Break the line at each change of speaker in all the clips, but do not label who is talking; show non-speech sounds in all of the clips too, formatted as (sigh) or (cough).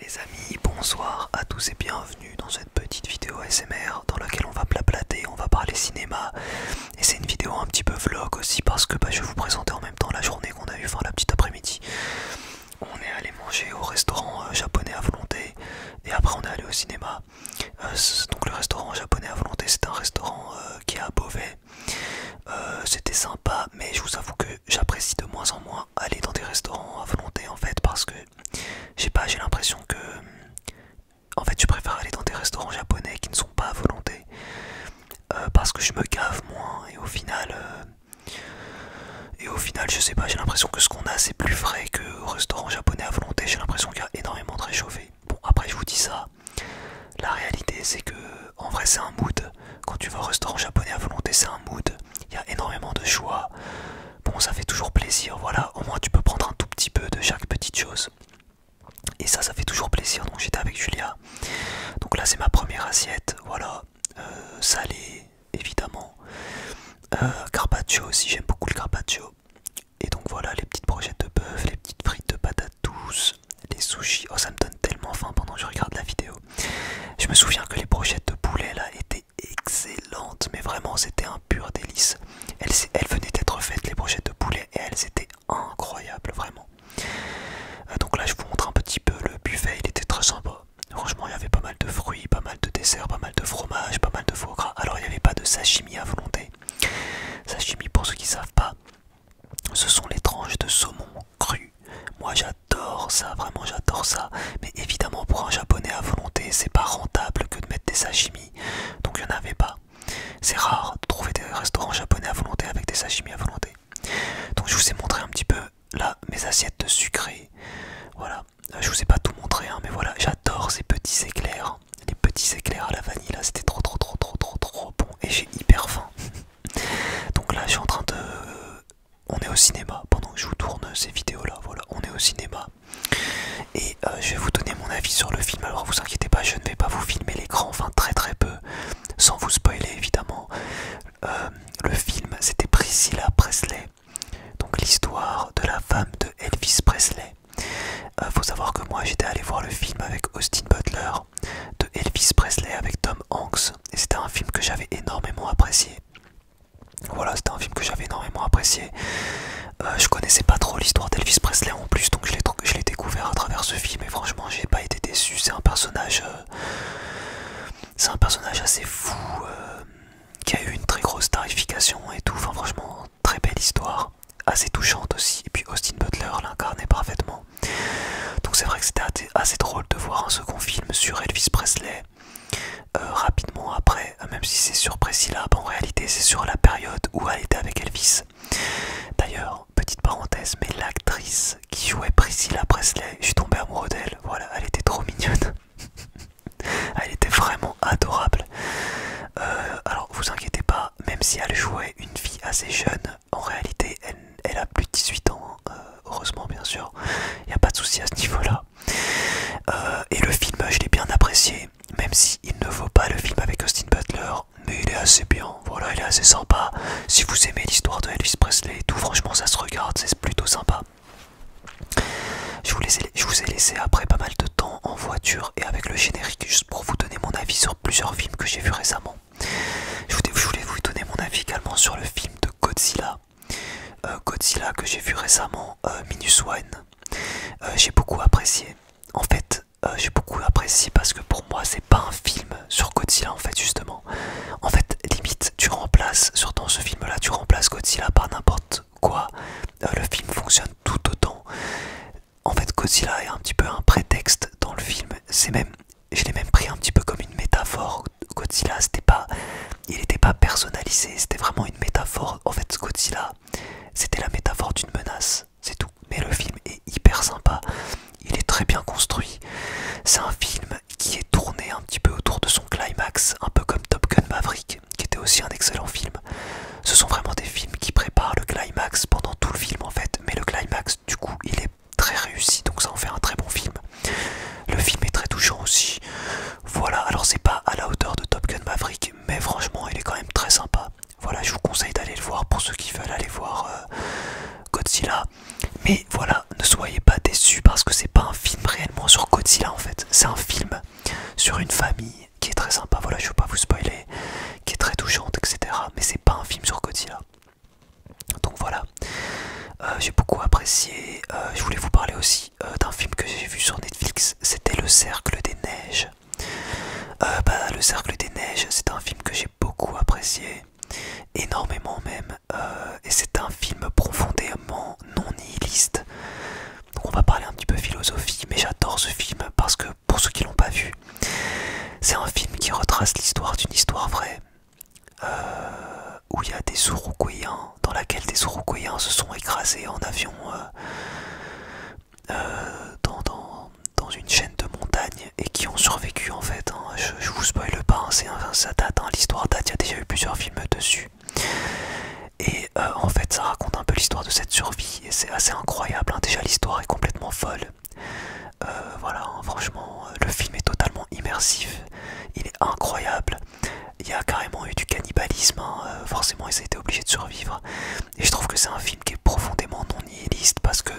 Les amis, bonsoir à tous et bienvenue dans cette petite vidéo SMR dans laquelle on va plaplater, on va parler cinéma et c'est une vidéo un petit peu vlog aussi parce que bah, je vais vous présenter en même temps la journée qu'on a eue, fin la petite après-midi. On est allé manger au restaurant euh, japonais à volonté et après on est allé au cinéma. Euh, donc le restaurant japonais à volonté c'est un restaurant euh, qui est à Beauvais. C'était sympa mais je vous avoue que j'apprécie de moins en moins aller dans des restaurants à volonté en fait parce que j'ai pas j'ai l'impression que en fait je préfère aller dans des restaurants japonais qui ne sont pas à volonté euh, parce que je me gave moins et au final euh, et au final je sais pas j'ai l'impression que ce qu'on a c'est plus frais que restaurant japonais à volonté j'ai l'impression qu'il y a énormément de réchauffé bon après je vous dis ça la réalité c'est que en vrai c'est un mood quand tu vas au restaurant japonais à volonté c'est un mood il y a énormément de choix. Bon, ça fait toujours plaisir, voilà, au moins tu peux prendre un tout petit peu de chaque petite chose. Et ça, ça fait toujours plaisir. Donc j'étais avec Julia. Donc là, c'est ma première assiette, voilà, euh, salé, évidemment. Euh, carpaccio aussi, j'aime beaucoup le carpaccio. Et donc voilà, les petites brochettes de bœuf, les petites frites de patates douces, les sushis. Oh, ça me donne tellement faim pendant que je regarde la vidéo. Je me souviens que les brochettes de poulet là étaient excellentes, mais vraiment c'était un pur délice. Elles, venaient d'être faites, les brochettes de poulet, et elles étaient incroyables, vraiment. Euh, donc là, je vous montre un petit peu le buffet, il était très sympa. Franchement, il y avait pas mal de fruits, pas mal de desserts, pas mal de fromage, pas mal de faux gras. Alors, il n'y avait pas de sashimi à volonté. Sashimi, pour ceux qui ne savent pas, ce sont les tranches de saumon cru. Moi j'adore ça, vraiment j'adore ça. Mais évidemment pour un japonais à volonté, c'est pas rentable que de mettre des sashimi. Donc il n'y en avait pas. C'est rare de trouver des restaurants japonais à volonté avec des sashimi à volonté. Donc je vous ai montré un petit peu là mes assiettes sucrées, Voilà, euh, je vous ai pas tout montré, hein, mais voilà, j'adore ces petits éclairs. Les petits éclairs à la vanille là, c'était trop trop trop trop trop trop bon et j'ai hyper faim. (laughs) Donc là, je suis en train de. On est au cinéma pendant que je vous tourne ces vidéos-là. Voilà, on est au cinéma. Et euh, je vais vous donner mon avis sur le film. Alors, vous inquiétez pas, je ne vais pas vous filmer l'écran, enfin très très peu, sans vous spoiler évidemment. Euh, le film, c'était Priscilla Presley. Donc, l'histoire de la femme de Elvis Presley. Euh, faut savoir que moi j'étais allé voir le film avec Austin Butler de Elvis Presley avec Tom Hanks et c'était un film que j'avais énormément apprécié. Voilà, c'était un film que j'avais énormément apprécié. Euh, je connaissais pas trop l'histoire d'Elvis Presley en plus, donc je l'ai découvert à travers ce film et franchement, j'ai pas été déçu. C'est un personnage, euh, c'est un personnage assez fou euh, qui a eu une très grosse tarification et tout. Enfin, franchement, très belle histoire, assez touchante aussi. Et puis Austin Butler l'incarnait parfaitement. Donc c'est vrai que c'était assez drôle de voir un second film sur Elvis Presley euh, rapidement après, euh, même si c'est sur Priscilla, en réalité c'est sur la période où elle était avec Elvis. D'ailleurs, petite parenthèse, mais l'actrice qui jouait Priscilla Presley, je suis tombé amoureux d'elle, voilà, elle était trop mignonne. (laughs) elle était vraiment adorable. Euh, alors vous inquiétez pas, même si elle jouait une fille assez jeune, en réalité, elle, a plus de 18 ans, hein, euh, heureusement bien sûr, il n'y a pas de souci à ce niveau-là. Euh, et le film, je l'ai bien apprécié, même s'il il ne vaut pas le film avec Austin Butler, mais il est assez bien, voilà, il est assez sympa. Si vous aimez l'histoire de Elvis Presley et tout, franchement, ça se regarde, c'est plutôt sympa. Je vous, ai, je vous ai laissé après pas mal de temps en voiture et avec le générique, juste pour vous donner mon avis sur plusieurs films que j'ai vus récemment. Je voulais, vous donner mon avis également sur le film de Godzilla. Euh, Godzilla que j'ai vu récemment, euh, Minus One. Euh, j'ai beaucoup apprécié. En fait, j'ai beaucoup apprécié parce que pour moi, c'est pas un film sur Godzilla en fait, justement. En fait, limite, tu remplaces, sur dans ce film-là, tu remplaces Godzilla par n'importe quoi. le film fonctionne tout autant. En fait, Godzilla est un petit peu un prétexte dans le film. C'est même, je l'ai même pris un petit peu comme une métaphore. Godzilla, c'était pas, il n'était pas personnalisé. C'était vraiment une métaphore. En fait, Godzilla, c'était la métaphore d'une menace. C'est tout. Mais le film est hyper sympa. Il est très bien construit. C'est un film qui est tourné un petit peu autour de son climax, un peu comme Top Gun Maverick, qui était aussi un excellent film. Ce sont vraiment des films qui préparent le climax pendant tout le film en fait, mais le climax du coup il est très réussi donc ça en fait un très bon film le film est très touchant aussi voilà alors c'est pas à la hauteur de Top Gun Maverick mais franchement il est quand même très sympa voilà je vous conseille d'aller le voir pour ceux qui veulent aller voir euh, Godzilla mais voilà ne soyez pas déçus parce que c'est pas un film réellement sur Godzilla en fait c'est un film sur une famille qui est très sympa voilà je veux pas vous spoiler qui est très touchante etc mais c'est pas un film sur Godzilla. Donc voilà, euh, j'ai beaucoup apprécié. Euh, je voulais vous parler aussi euh, d'un film que j'ai vu sur Netflix, c'était Le Cercle des Neiges. Bah, le Cercle des Neiges, c'est un film que j'ai beaucoup apprécié, énormément même, et c'est un film profondément non nihiliste. Donc on va parler un petit peu philosophie, mais j'adore ce film parce que pour ceux qui l'ont pas vu. C'est un film qui retrace l'histoire d'une histoire vraie, euh, où il y a des Uruguayens, dans laquelle des Uruguayens se sont écrasés en avion euh, euh, dans, une chaîne de montagne et qui ont survécu en fait. Hein. Je, vous vous spoil pas, hein, ça date, hein, l'histoire date, il y a déjà eu plusieurs films dessus. Et en fait, ça raconte un peu l'histoire de cette survie c'est assez incroyable. Hein. Déjà l'histoire est complètement folle. Euh, voilà, hein, franchement, euh, le film est totalement immersif, il est incroyable. Il y a carrément eu du cannibalisme, hein. euh, forcément, ils ont été obligés de survivre. Et je trouve que c'est un film qui est profondément non nihiliste parce que,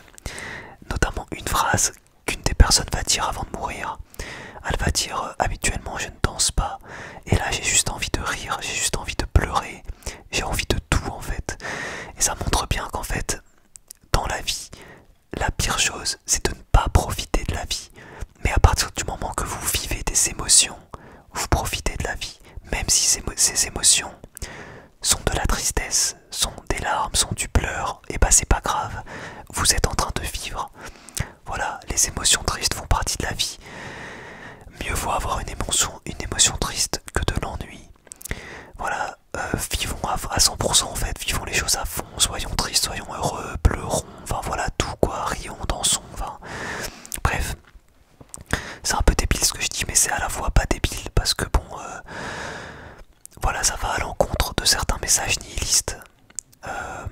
notamment, une phrase qu'une des personnes va dire avant de mourir, elle va dire habituellement je ne danse pas, et là j'ai juste envie de rire, j'ai juste envie de pleurer, j'ai envie de tout en fait. Et ça montre bien qu'en fait, dans la vie, la pire chose, c'est de ne pas profiter de la vie. Mais à partir du moment que vous vivez des émotions, vous profitez de la vie, même si ces, émotions sont de la tristesse, sont des larmes, sont du pleur, et eh bah ben, c'est pas grave, vous êtes en train de vivre. Voilà, les émotions tristes font partie de la vie. Mieux vaut avoir une émotion, une émotion triste que de l'ennui. Voilà, euh, vivons à, 100% en fait, vivons les choses à fond, soyons tristes, soyons heureux, pleurons, enfin voilà tout quoi, rions, dansons, enfin bref. C'est un peu débile ce que je dis, mais c'est à la fois pas débile parce que bon, euh, voilà, ça va à l'encontre de certains messages nihilistes, euh,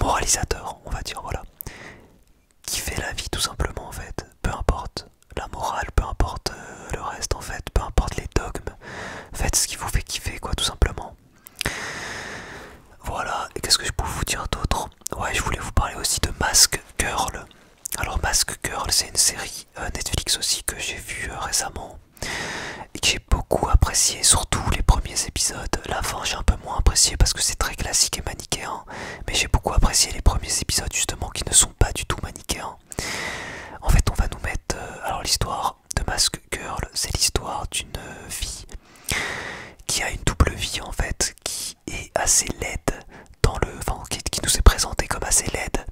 moralisateurs, on va dire, voilà fait la vie tout simplement en fait, peu importe la morale, peu importe euh, le reste en fait, peu importe les dogmes, faites ce qui vous fait kiffer quoi tout simplement. Voilà, et qu'est-ce que je peux vous dire d'autre Ouais, je voulais vous parler aussi de masque Girl. Alors masque Girl, c'est une série euh, Netflix aussi que j'ai vu euh, récemment et que j'ai beaucoup apprécié, surtout les premiers épisodes. La fin, j'ai un peu moins apprécié parce que c'est très classique et manichéen mais j'ai beaucoup apprécié les premiers épisodes justement qui ne sont pas du tout manichéens. En fait, on va nous mettre... Euh, alors l'histoire de Mask Girl, c'est l'histoire d'une euh, fille qui a une double vie en fait, qui est assez laide dans le... Enfin, qui, nous est présentée comme assez laide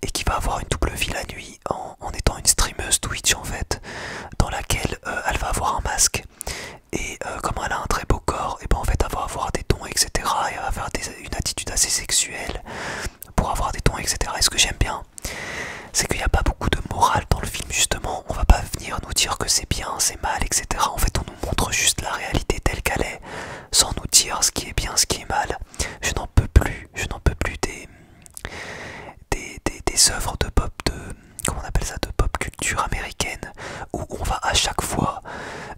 et qui va avoir une double vie la nuit en, étant une streameuse Twitch en fait, dans laquelle euh, elle va avoir un masque et euh, comme elle a un très beau corps, et ben en fait elle va avoir des tons etc. elle va avoir une attitude assez sexuelle pour avoir des tons etc. Et ce que j'aime bien, c'est qu'il n'y a pas beaucoup de morale dans le film justement. On va pas venir nous dire que c'est bien, c'est mal, etc. En fait on nous montre juste la réalité telle qu'elle est, sans nous dire ce qui est bien, ce qui est mal. Je n'en peux plus, je n'en peux plus des, des, des, des œuvres de pop de comment on appelle ça, de pop culture américaine, où on va à chaque fois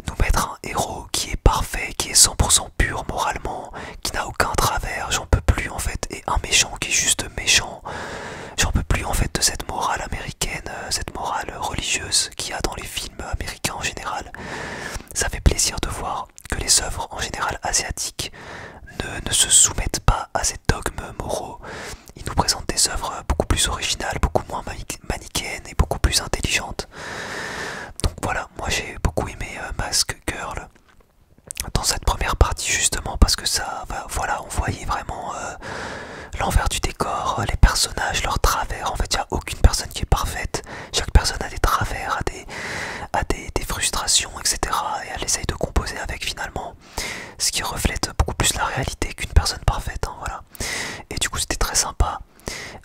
nous mettre un héros qui est parfait, qui est 100% pur moralement, qui n'a aucun travers, j'en peux plus en fait, et un méchant qui est juste méchant, j'en peux plus en fait de cette morale américaine, euh, cette morale religieuse qu'il y a dans les films américains en général. Ça fait plaisir de voir que les œuvres en général asiatiques ne, ne se soumettent pas à ces dogmes moraux, il nous présente des œuvres beaucoup plus originales, beaucoup moins manichéennes et beaucoup plus intelligentes. Donc voilà, moi j'ai beaucoup aimé euh, Mask Girl dans cette première partie justement parce que ça, voilà, on voyait vraiment euh, l'envers du décor, euh, les personnages, leurs travers. En fait, il n'y a aucune personne qui est parfaite. Chaque personne a des travers, a des, des frustrations, etc. Et elle essaye de composer avec finalement ce qui reflète beaucoup plus la réalité qu'une personne parfaite. Hein, et du coup, c'était très sympa.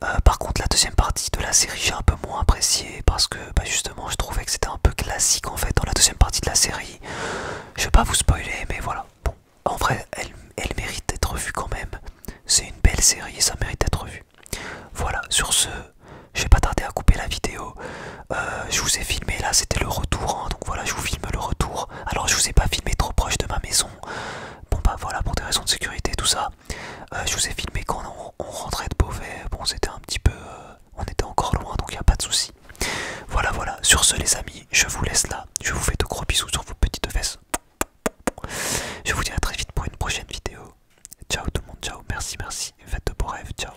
Euh, par contre, la deuxième partie de la série, j'ai un peu moins apprécié parce que bah, justement, je trouvais que c'était un peu classique en fait. Dans la deuxième partie de la série, je vais pas vous spoiler, mais voilà. en vrai, elle, mérite d'être vue quand même. C'est une belle série et ça mérite d'être vue Voilà, sur ce, je vais pas tarder à couper la vidéo. Euh, je vous ai filmé là, c'était le retour, hein, donc voilà, je vous filme le retour. Alors je vous ai pas filmé trop proche de ma maison. Bon bah voilà, pour des raisons de sécurité, tout ça. Euh, je vous ai filmé quand on, rentrait de Beauvais. Bon, c'était un petit peu, euh, on était encore loin, donc il n'y a pas de souci. Voilà, voilà. Sur ce, les amis, je vous laisse là. Je vous fais de gros bisous sur vos petites fesses. Je vous dis à très vite pour une prochaine vidéo. Ciao tout le monde, ciao, merci, merci, faites de beaux rêves, ciao.